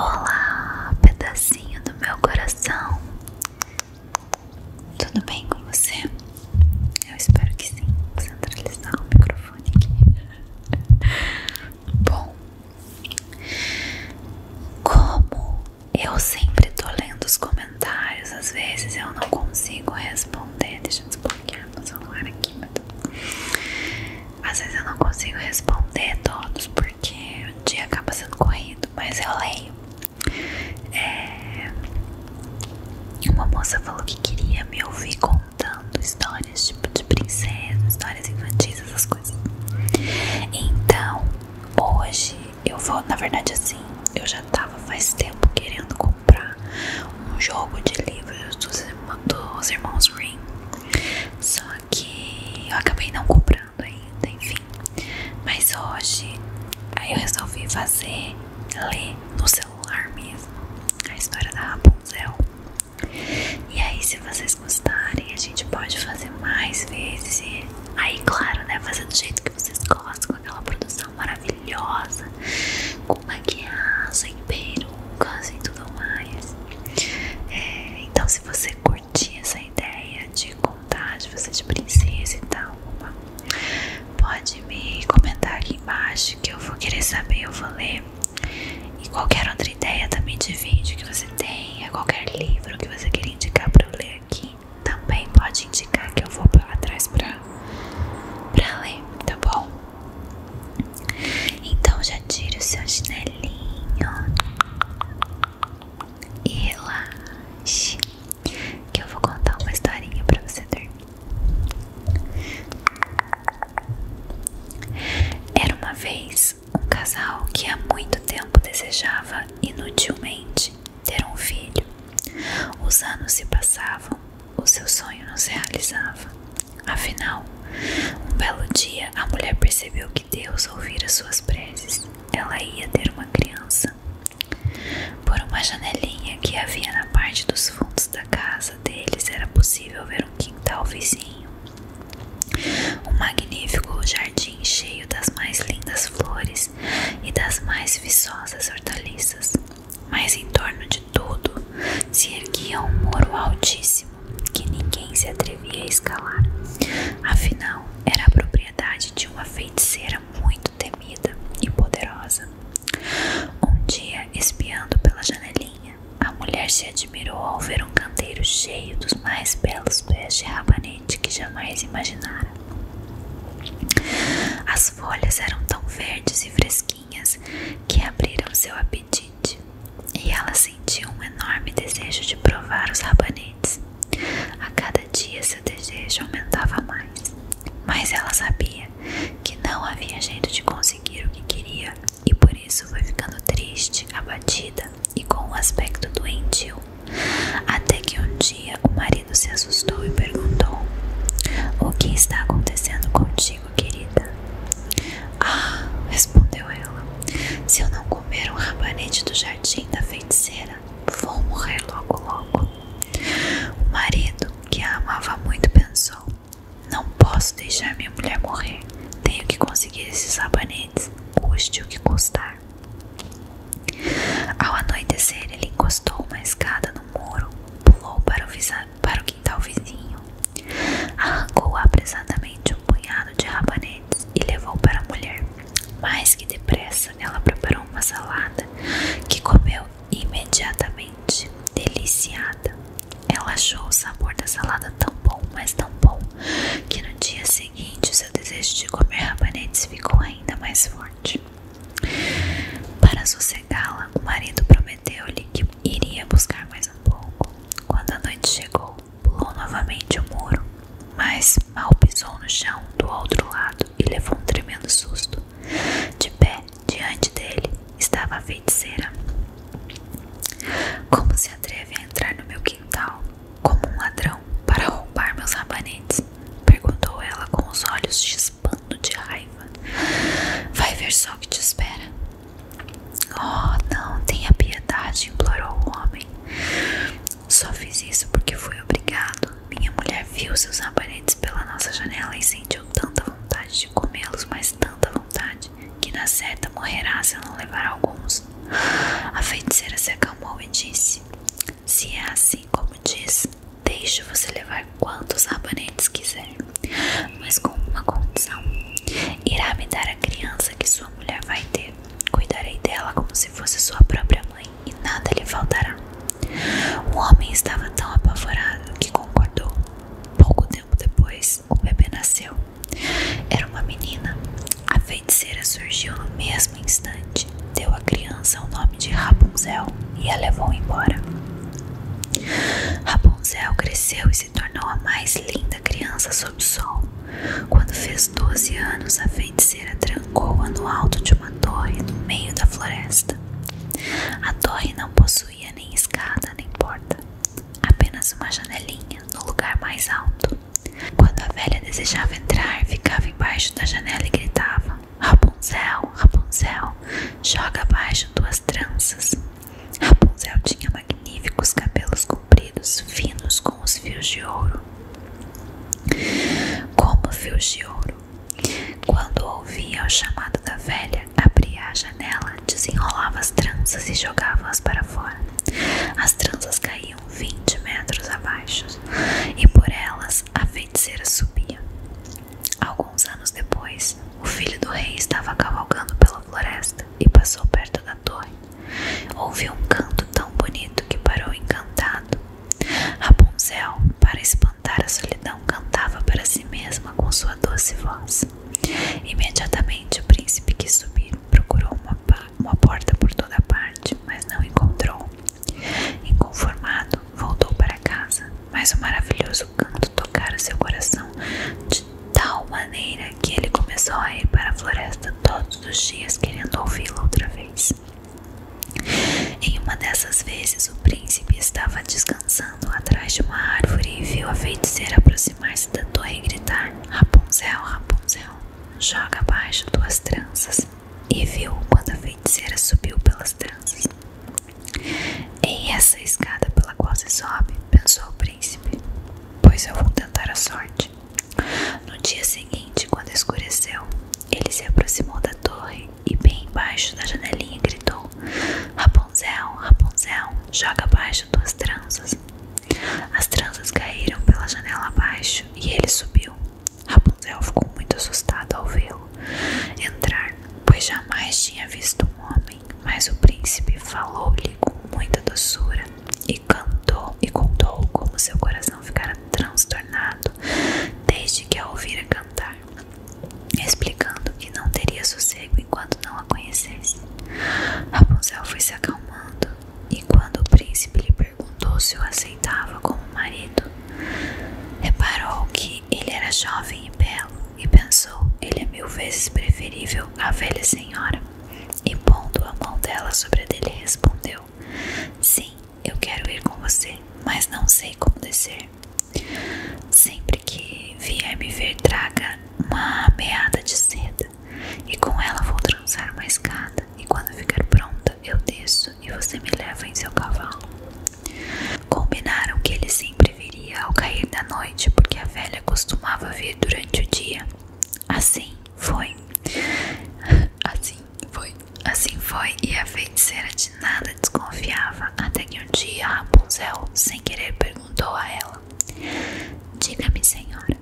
Olá, pedacinho do meu coração. Tudo bem com você? Eu espero que sim. Vou centralizar o microfone aqui. Bom, como eu sempre tô lendo os comentários, às vezes eu não consigo responder. Deixa eu desbloquear meu celular aqui pra às vezes eu não consigo responder todos porque o dia acaba sendo corrido, mas eu leio. É... Uma moça falou que queria me ouvir contando histórias tipo de princesa, histórias infantis, essas coisas. Então, hoje eu vou, na verdade, assim, eu já tava faz tempo querendo comprar um jogo de livros dos, irmãos Green só que eu acabei não comprando ainda, enfim. Mas hoje aí eu resolvi fazer ler no celular mesmo a história da Rapunzel. E aí, se vocês gostarem, a gente pode fazer mais vezes. aí, claro, né? Fazer do jeito que vocês gostam, com aquela produção maravilhosa, com maquiagem, perucas e tudo mais. É, então, se você curtir essa ideia de contar de você de princesa e tal, pode me comentar aqui embaixo que eu vou querer saber, eu vou ler. E qualquer outra ideia também de vídeo que você tenha, qualquer livro que você queira indicar para eu ler aqui, também pode indicar que eu vou atrás para ler, tá bom? Então já tire o seu chinelinho e relaxe, que eu vou contar uma historinha pra você dormir. Era uma vez um casal que há muito tempo desejava inutilmente ter um filho. Os anos se passavam o seu sonho não se realizava. Afinal, um belo dia a mulher percebeu que Deus ouvira suas preces. Ela ia ter uma criança. Por uma janelinha que havia na parte dos fundos da casa deles era possível ver um quintal vizinho. Um magnífico jardim cheio das mais lindas flores e das mais viçosas hortaliças mas em torno de tudo se erguia um muro altíssimo que ninguém se atrevia a escalar. Afinal, era a propriedade de uma feiticeira muito temida e poderosa. Um dia, espiando pela janelinha, a mulher se admirou ao ver um canteiro cheio dos mais belos pés de rabanete que jamais imaginara. As folhas eram tão verdes e fresquinhas que abriram seu apetite, e ela sentiu um enorme desejo de provar os rabanetes. A cada dia seu desejo aumentava mais, mas ela sabia que não havia jeito de conseguir o que queria e por isso foi ficando triste, abatida e com um aspecto doentio. Até que um dia o marido se assustou e perguntou: O que está acontecendo contigo? querida? Ah, respondeu ela, se eu não comer um rabanete do jardim da feiticeira, vou morrer logo logo. O marido, que a amava muito, pensou: Não posso deixar minha mulher morrer. Tenho que conseguir esses rabanetes, custe o que custar. Ao anoitecer, ele encostou uma escada no muro, pulou para o, para quintal vizinho. Arrancou apressadamente um punhado de rabanetes e levou para a mulher. Mais que depressa, ela preparou uma salada que comeu imediatamente, deliciada. Ela achou o sabor da salada tão bom, mas tão bom, que no dia seguinte seu desejo de comer rabanetes ficou ainda mais forte. Para sossegá-la, o marido prometeu-lhe que iria buscar mais um pouco. Quando a noite chegou, pulou novamente o muro, mas mal pisou no chão do outro lado e levou um tremendo susto. De pé, diante dele, estava a feiticeira. Como se atreve a entrar no meu quintal, como um ladrão, para roubar meus rabanetes? Perguntou ela com os olhos chispados de raiva. Vai ver só o que te espera. Oh, não, tenha piedade, implorou o homem. Só fiz isso porque fui obrigado. Minha mulher viu seus rabanetes pela nossa janela e sentiu tanta vontade de comê-los, mas tanta vontade, que na certa morrerá se eu não levar alguns. A feiticeira se acalmou e disse: se é assim como diz, deixo você levar quantos rabanetes quiser, mas com uma condição: irá me dar a criança que sua mulher vai ter. Cuidarei dela como se fosse sua própria mãe e nada lhe faltará. O homem estava tão apavorado que concordou. Pouco tempo depois, o bebê nasceu. Era uma menina. A feiticeira surgiu no mesmo instante deu à criança o nome de Rapunzel e a levou embora. Rapunzel cresceu e se tornou a mais linda criança sob o sol. Quando fez 12 anos, a feiticeira trancou-a no alto de uma torre no meio da floresta. A torre não possuía nem escada nem porta, apenas uma janelinha no lugar mais alto. Quando a velha desejava entrar, ficava embaixo da janela e gritava: Rapunzel, Rapunzel, joga abaixo tuas tranças. Rapunzel tinha magníficos cabelos compridos, finos com os fios de ouro. Como fios de ouro. Quando ouvia o chamado da velha, abria a janela, desenrolava as tranças e jogava-as para fora. As tranças caíam vinte metros abaixo, e por elas a feiticeira subia. Alguns anos depois, o filho do rei estava cavalgando pela floresta e passou perto da torre. Ouviu um canto tão bonito que parou encantado. Rapunzel, para espantar a solidão, cantava para si mesma com sua doce voz. Imediatamente o príncipe quis subir, procurou uma porta por toda parte, mas não encontrou. Inconformado, voltou para casa, mas o maravilhoso canto tocara seu coração de tal maneira que ele começou a ir para a floresta todos os dias querendo ouvi-lo outra vez. Em uma dessas vezes, o príncipe estava descansando atrás de uma árvore e viu a feiticeira aproximar-se da torre e gritar: Rapunzel, Rapunzel, joga abaixo tuas tranças e viu quando a feiticeira subiu pelas tranças. Em essa escada pela qual se sobe, pensou o príncipe, pois eu vou tentar a sorte. No dia seguinte, quando escureceu, ele se aproximou da torre e, bem embaixo da janelinha, gritou: Rapunzel, Rapunzel, joga abaixo tuas tranças. As tranças caíram pela janela abaixo e ele subiu. Rapunzel ficou muito assustada ao vê-lo entrar, pois jamais tinha visto um homem. Mas o príncipe falou-lhe com muita doçura e cantou e contou como seu coração ficara transtornado desde que a ouvira cantar, explicando que não teria sossego enquanto não a conhecesse. Rapunzel foi se acalmando e quando o príncipe lhe perguntou se o aceitava como marido. Reparou que ele era jovem e belo e pensou: ele é mil vezes preferível à velha senhora. E pondo a mão dela sobre a dele, respondeu: Sim, eu quero ir com você, mas não sei como descer. Sempre que vier me ver, traga uma meada de seda e com ela vou trançar uma escada e quando ficar pronta eu desço e você me leva em seu cavalo. Combinaram que ele sempre viria ao cair da noite porque a velha costumava vir durante o dia. Assim foi. Assim foi. Assim foi e a feiticeira de nada desconfiava até que um dia a Rapunzel, sem querer, perguntou a ela: Diga-me, senhora,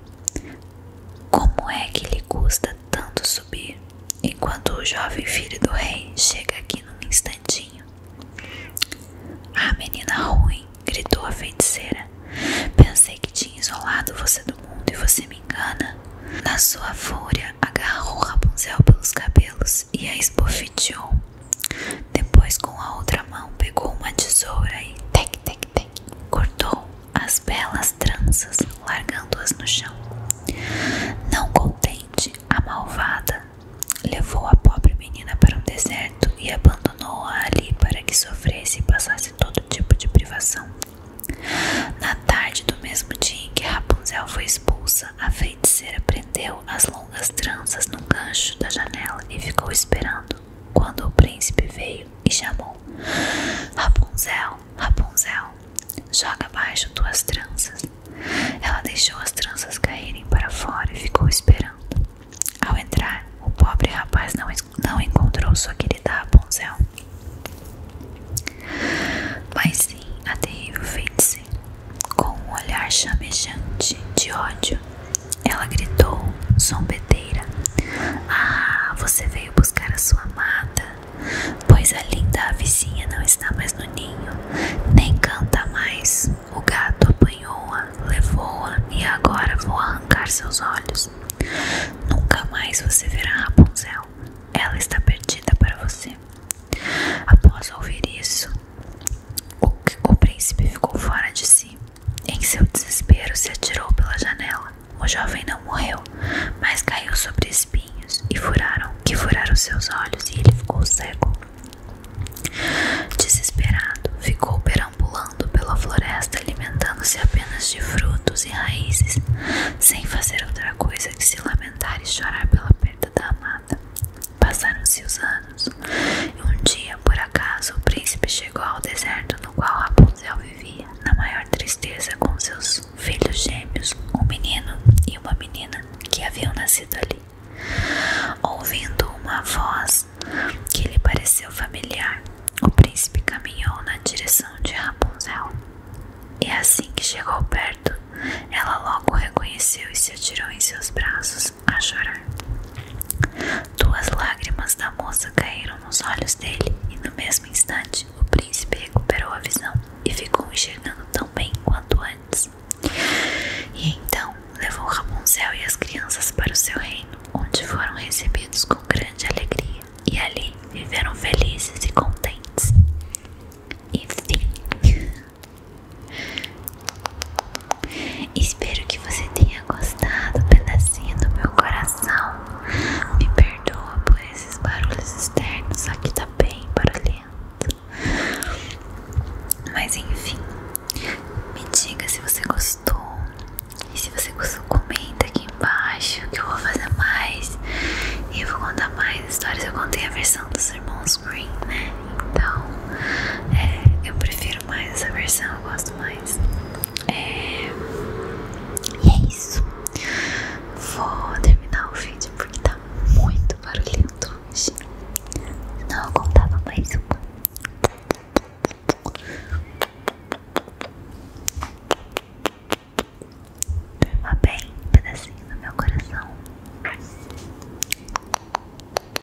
como é que lhe custa tanto subir, enquanto o jovem filho do rei chega aqui num instantinho. Ah, menina ruim, gritou a feiticeira. Pensei que tinha isolado você do mundo e você me engana. Na sua fúria, agarrou Rapunzel pelos cabelos e a esbofeteou. Depois, com a outra mão, pegou uma tesoura e tec, tec, tec, cortou as belas tranças, largando-as no chão. Não contente, a malvada levou a pobre menina para um deserto e abandonou-a ali para que sofresse e passasse todo tipo de privação. Na tarde do mesmo dia em que Rapunzel foi expulsa, a feiticeira prendeu as longas tranças num gancho da janela e ficou esperando. Quando o príncipe veio, e chamou: Rapunzel, Rapunzel, joga abaixo tuas tranças. Ela deixou as tranças caírem para fora e ficou esperando. Ao entrar, o pobre rapaz não, não encontrou sua querida Rapunzel, mas sim a terrível feiticeira, com um olhar chamejante de ódio ela gritou, zombeteira: Ah, você veio buscar a sua amada? Pois a linda a vizinha não está mais no ninho, nem canta mais. O gato apanhou-a, levou-a e agora vou arrancar seus olhos. Nunca mais você verá a Rapunzel. Ela está perdida para você. Após ouvir isso, o, o príncipe ficou fora de si. Em seu desespero, se atirou pela janela. O jovem não morreu, mas caiu sobre espinhos e furaram, que furaram seus olhos e ele ficou cego. Desesperado, ficou perambulando pela floresta, alimentando-se apenas de frutos e raízes, sem fazer outra coisa que se lamentar e chorar pela perda da amada. Passaram-se os anos, e um dia por acaso, o príncipe chegou ao deserto no qual Rapunzel vivia, na maior tristeza, com seus filhos gêmeos, um menino e uma menina que haviam nascido ali. Ouvindo uma voz que lhe pareceu familiar, o príncipe caminhou na direção de Rapunzel. E assim que chegou perto, ela logo o reconheceu e se atirou em seus braços a chorar. Duas lágrimas da moça caíram nos olhos dele, e no mesmo instante o príncipe recuperou a visão e ficou enxergando tão bem quanto antes. E então levou Ramoncel e as crianças para o seu reino, onde foram recebidos com grande alegria, e ali viveram felizes e contentes. Enfim. Espero que você tenha gostado pedacinho do meu coração. Me perdoa por esses barulhos externos, aqui tá bem barulhento. Mas enfim, me diga se você gostou. E se você gostou, comenta aqui embaixo que eu vou fazer mais. E eu vou contar mais histórias. Eu contei a versão dos irmãos Green, né? Então, é, eu prefiro mais essa versão, eu gosto mais. É... E é isso. Vou terminar o vídeo porque tá muito barulhento hoje. Não, eu contava mais uma. Durma bem, um pedacinho no meu coração.